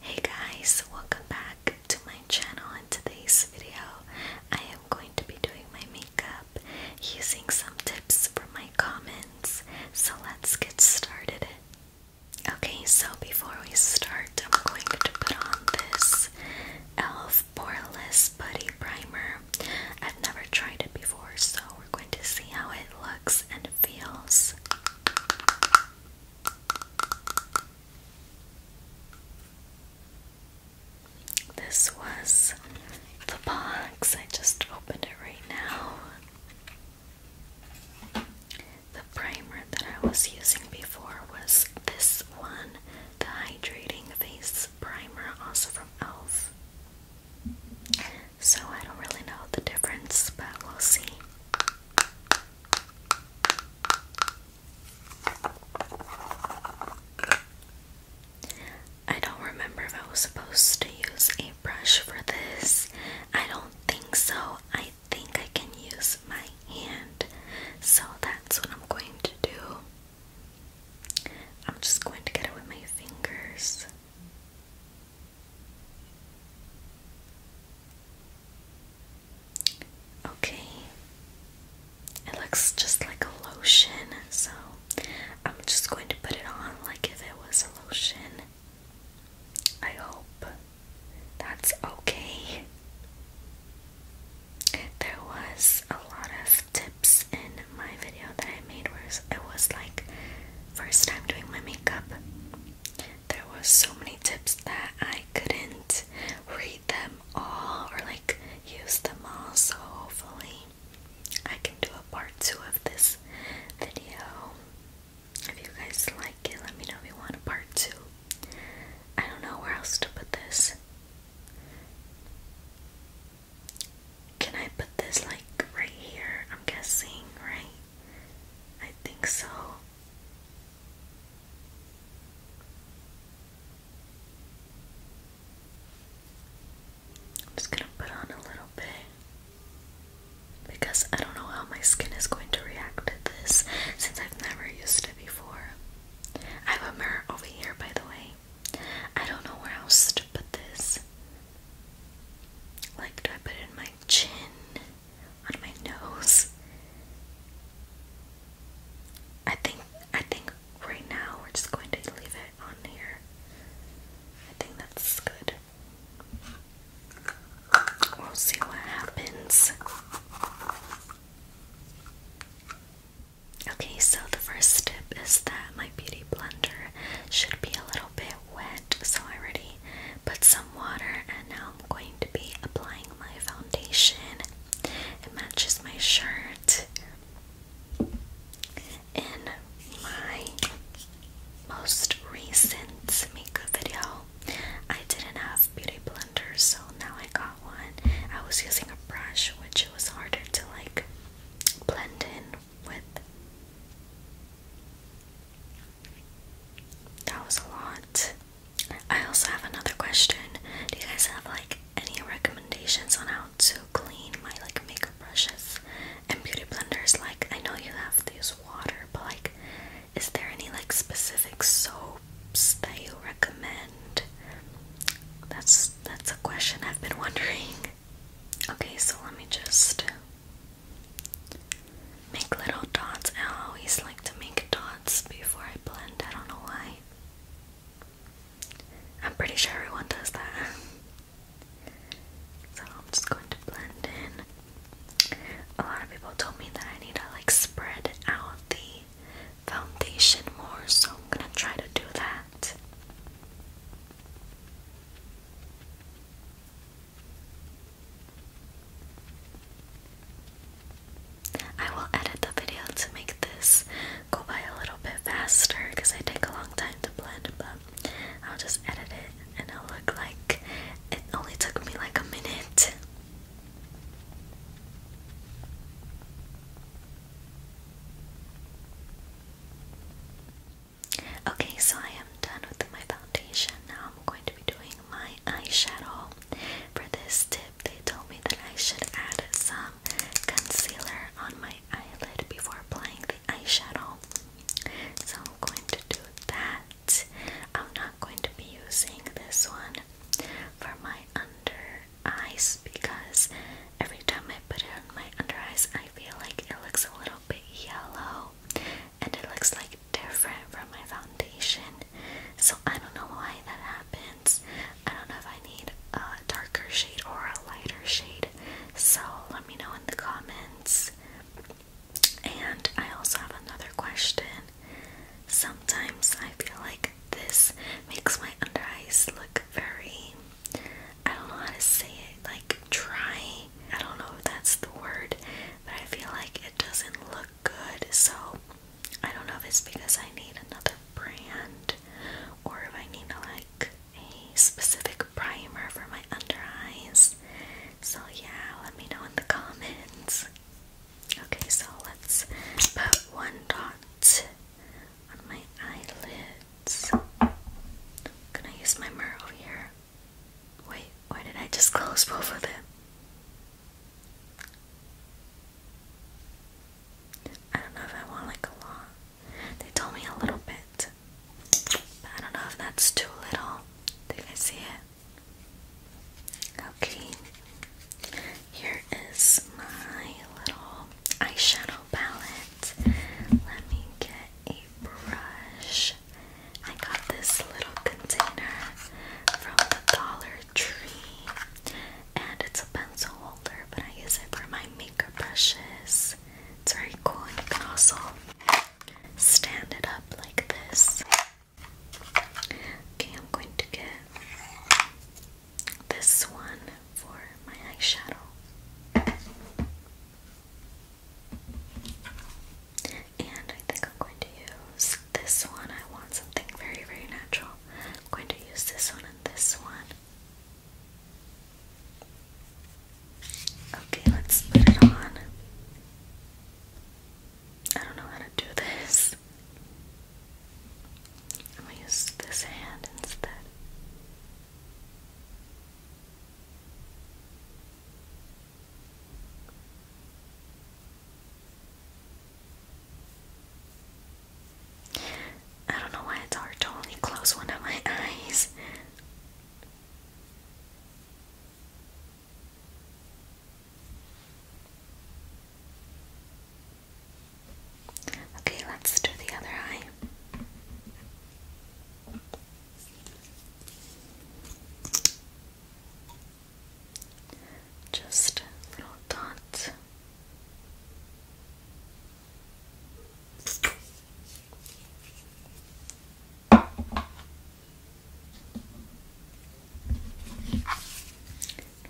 Hey guys, welcome back to my channel. In today's video, I am going to be doing my makeup using some tips from my comments. So let's get started. Okay, so before we start, I'm going to put on this e.l.f. Poreless Buddy Primer. I've never tried it before, so we're going to see how it looks and feels. This was the box. I just opened it right now. The primer that I was using before was this one, the Hydrating Face Primer, also from e.l.f. So I don't really know the difference, but we'll see. I don't remember if I was supposed to use a brush for this. I don't think so. I think I can use my hand. So that's what I'm going to do. I'm just going to get it with my fingers. Okay, it looks just like a lotion, so I'm just going to put it on like if it was a lotion. I hope that's okay. There was a lot of tips in my video that I made where it was like first time doing my makeup there was so many tips that I couldn't read them all or like use them all so hopefully I can do a part two of this video if you guys like it let me know if you want a part two I don't know where else to put this can I put this like right here I'm guessing right I think so I'm just gonna put on a little bit because I don't know how my skin is going to react to this since I've never used it before. I have a mirror over here, by the way. I don't know where else to put this. Like, do I put it in my chin? on my nose. I think I think right now we're just going to leave it on here. I think that's good. We'll see what happens. Okay, so the first tip is that my beauty blender should be a little bit wet so I already put some water and now I'm going to be applying my foundation. It matches my shirt in my most recent makeup video. I didn't have beauty blenders, so now I got one. I was using a brush, which it was harder to like blend in with. That was a lot. I also have another question. Do you guys have like any recommendations on how to clean my like makeup brushes and beauty blenders? Like I know you have to use water, but like is there any like specific soaps that you recommend? That's that's a question I've been wondering. Okay, so let me just Make little dots. I always like to make dots before I blend. I don't know why. I'm pretty sure everyone does that. So I'm just going to blend in. A lot of people told me that I need to like spread out the foundation more, so I'm gonna try to do that. I will edit the video to make this go by a little bit faster because I take a long time to blend, but I'll just edit it and it'll look like it only took me like a minute. Okay, so I am done with my foundation. Now I'm going to be doing my eyeshadow. For this tip, they told me that I should add some concealer on my eyelid before applying the eyeshadow. So I'm going to do that. I'm not going to be using this one for my under eyes because every time I put it on my under eyes, I feel like it looks a little bit yellow and it looks like different from my foundation. So I don't know why that happens. I don't know if I need a darker shade or a lighter shade. So let me know in the comments. And I also have another question. Sometimes I feel like this makes my under eyes look very, I don't know how to say it, like dry. I don't know if that's the word, but I feel like it doesn't look good. So I don't know if it's because I need another brand or if I need like a specific primer for my under eyes. So yeah, let me know in the comments. Okay, so let's put one dot on my eyelids. Can I use my mirror over here? Wait, why did I just close both of them? I don't know if I want like a lot. They told me a little bit. But I don't know if that's too little. Do you see it? Okay. Here is my little eyeshadow palette. Let me get a brush I got this little container from the Dollar Tree, and it's a pencil holder, but I use it for my makeup brushes. It's very cool, and you can also stand it up like this. Okay, I'm going to get this one for my eyeshadow. And I think I'm going to use this one. I want something very, very natural. I'm going to use this one and this one. Okay, let's put it on. I don't know how to do this. I'm use this hand instead. I don't know why it's hard to only close one of my eyes. Okay, let's do the other eye. Just little dots.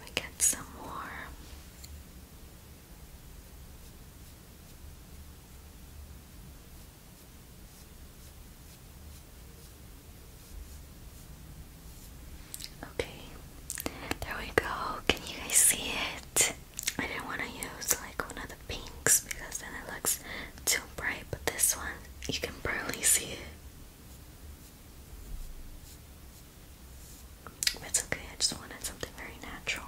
We get some more. Okay, there we go. Can you guys see it? I didn't want to use like one of the pinks because then it looks too bright, but this one you can barely see it. It's okay, I just wanted something very natural.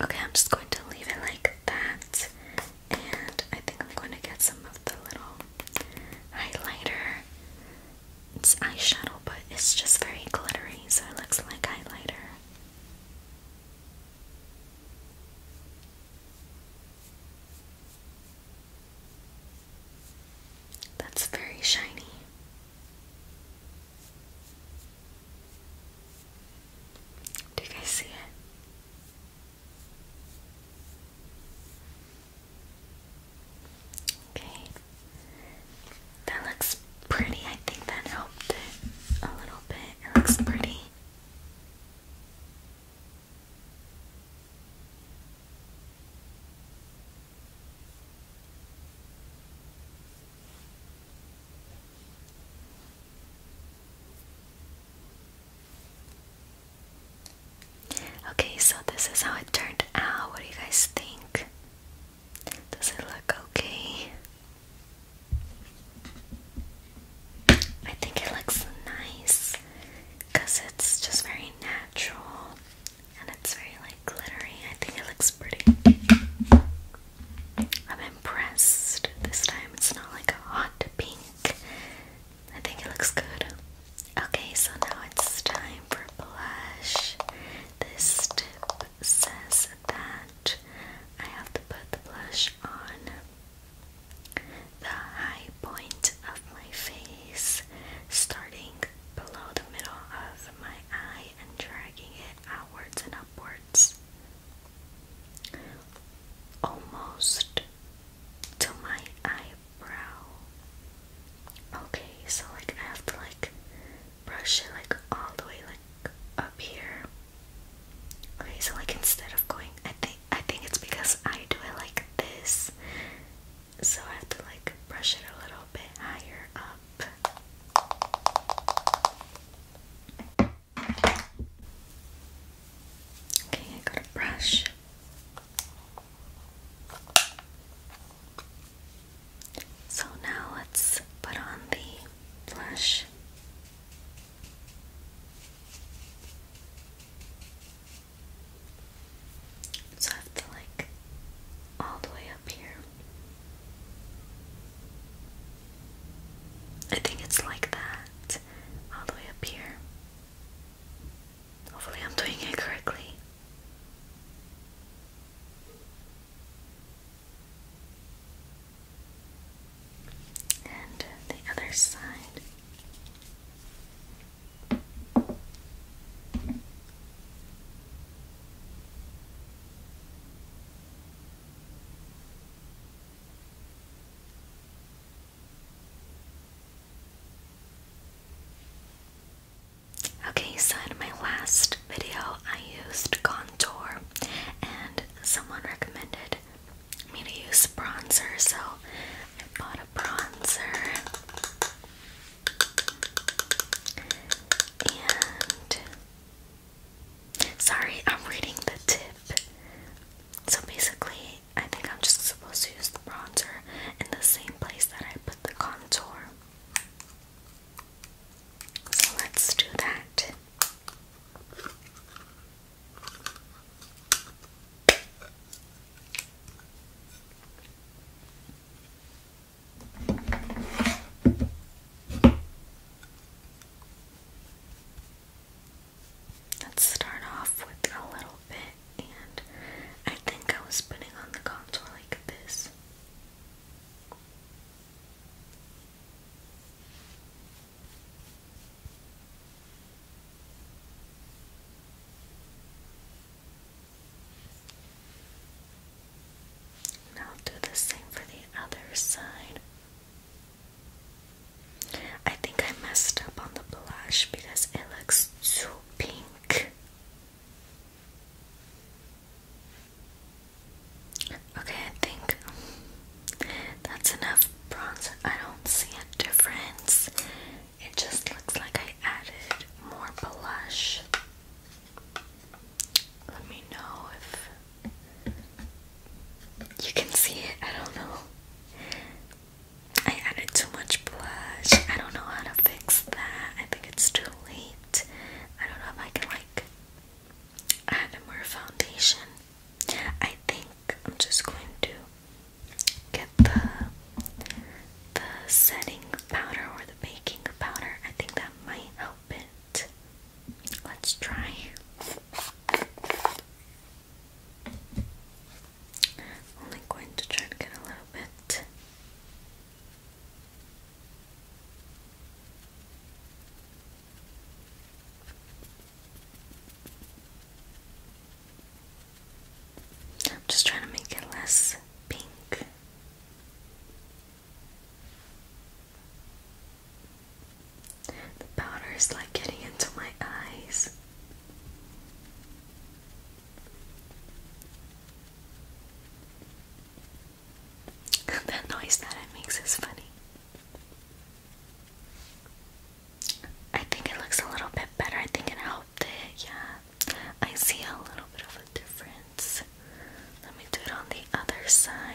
Okay, I'm just going to leave it like that, and I think I'm going to get some of the little highlighter. It's eyeshadow, but it's just very glittery, so it looks like highlighter. That's very shiny. Do you see it? Okay, that looks pretty. I think that helped a little bit. It looks pretty. Okay, so this is how it turned out. What do you guys think? Does it look okay? I think it looks nice because it's just very natural and it's very like glittery. I think it looks pretty. I'm impressed this time. It's not like a hot pink, I think it looks good. Okay, so now it's time for blush. This tip says that I have to put the blush on the high point of my face, starting below the middle of my eye and dragging it outwards and upwards. Almost to my eye brow. Okay, so like I have to like brush it like all the way like up here. Okay, so like instead of going I think I think it's because I do it like this. So I have to like brush it a little bit higher up. Okay, I got a brush. So now let's put on the blush. So I have to like all the way up here. I think it's like that, all the way up here. Hopefully, I'm doing it correctly. And the other side. Okay, so in my last video, I used contour, and someone recommended me to use bronzer, so I bought a bronzer. And sorry, I'm reading the tip. So basically, I think I'm just supposed to use the bronzer in the same place that I put the contour. So let's do that. Let's start off with a little bit and I think I was putting on the contour like this. And do the same for the other side. I think I messed up on the blush because it looks too pink. Okay, I think that's enough bronzer. I don't see a difference. It just looks like I added more blush. Let me know if you can see it. I don't know. I added too much blush. I don't know how to fix that. I think it's too late. I don't know if I can like add more foundation. I think I'm just going to get the the setting powder or the baking powder. I think that might help it. Let's try. Only going to try to get a little bit. I'm just trying to make it less pink. The powder is like getting into my eyes. that noise that it makes is funny. I think it looks a little bit better. I think it helped it, yeah. I see a little bit of a difference. Let me do it on the other side.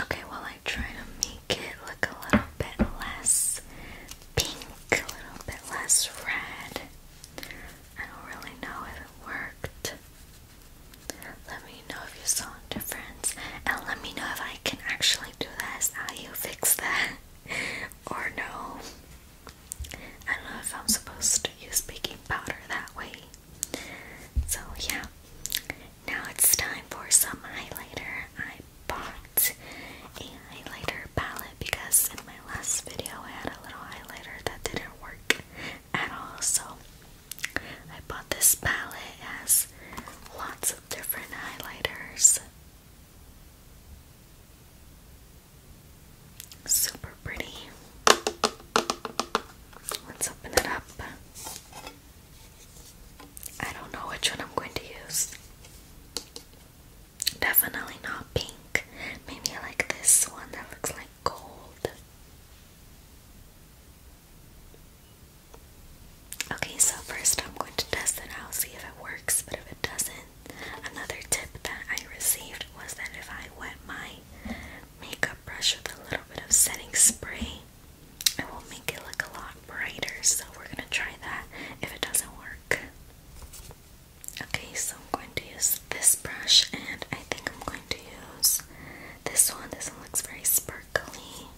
Okay, well, I try to make it look a little bit less pink, a little bit less red. I don't really know if it worked. Let me know if you saw a difference, and let me know if I can actually do this, how you fix that, or no. I don't know if I'm supposed to use baking powder that way. So, yeah. Now it's time for some highlighter. I bought a highlighter palette because in my last video I had a little highlighter that didn't work at all. So I bought this palette. It has lots of different highlighters. Super pretty. Let's open it up. I don't know which one I'm going to use. Definitely not pink. Maybe I like this one that looks like gold. Okay, so first I'm going to test it out, see if it works, but if it doesn't, another tip that I received was that if I wet my makeup brush with a little bit of setting spray, it will make it look a lot brighter, so we're gonna try that if it doesn't work. Okay, so I'm going to use this brush, and I think I'm going to use this one. This one looks very sparkly.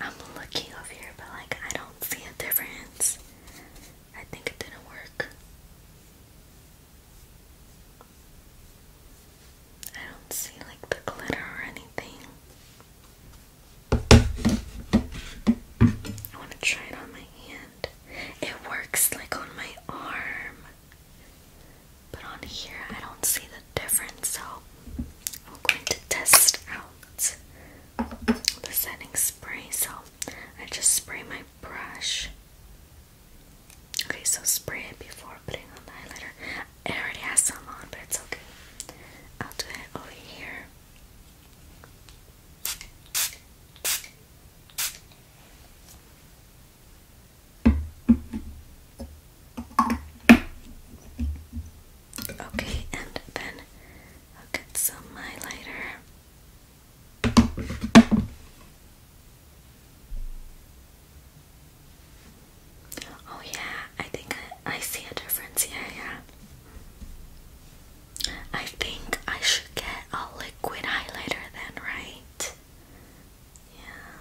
I'm looking over here, but like I don't see a difference. I think it didn't work. I don't see like the glitter or anything. I want to try it on my hand. It works like on my arm, but on here I don't see the difference, so I'm going to test out the setting spray. So I just spray my brush. Okay, so spray it before putting on the highlighter. It already has some on, but it's okay. I'll do it over here. Okay, and then I'll get some highlighter. Oh yeah, I think I, I see a difference here, yeah. I think I should get a liquid highlighter then, right? Yeah.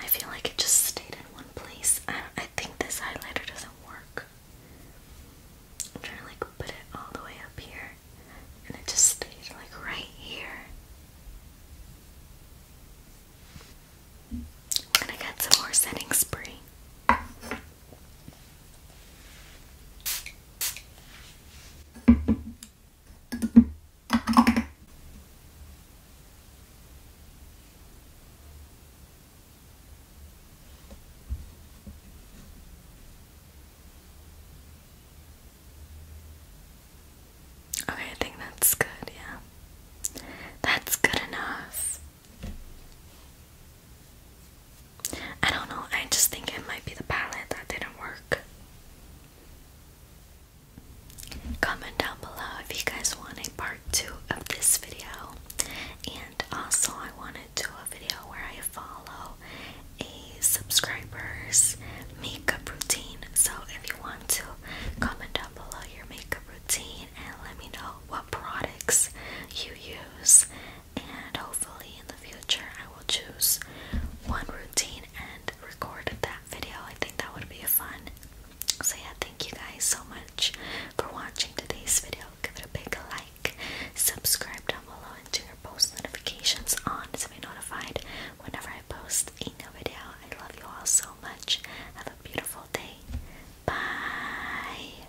I feel like it just stayed in one place. I, I think this highlighter doesn't work. I'm trying to like put it all the way up here, and it just stayed like right here. We're going some more setting spray. Okay, I think that's good, yeah. That's good enough. I don't know, I just think it might be the palette that didn't work. Comment down below if you guys want a part 2 of this video. And also, I want to do a video where I follow a subscriber's makeup routine. So, if you want to, comment down below your makeup routine and let me know what products you use and hopefully in the future I will choose one routine and record that video. I think that would be fun. So yeah, thank you guys so much for watching today's video. Give it a big like, subscribe down below, and turn your post notifications on to be notified whenever I post a new video. I love you all so much. Have a beautiful day. Bye.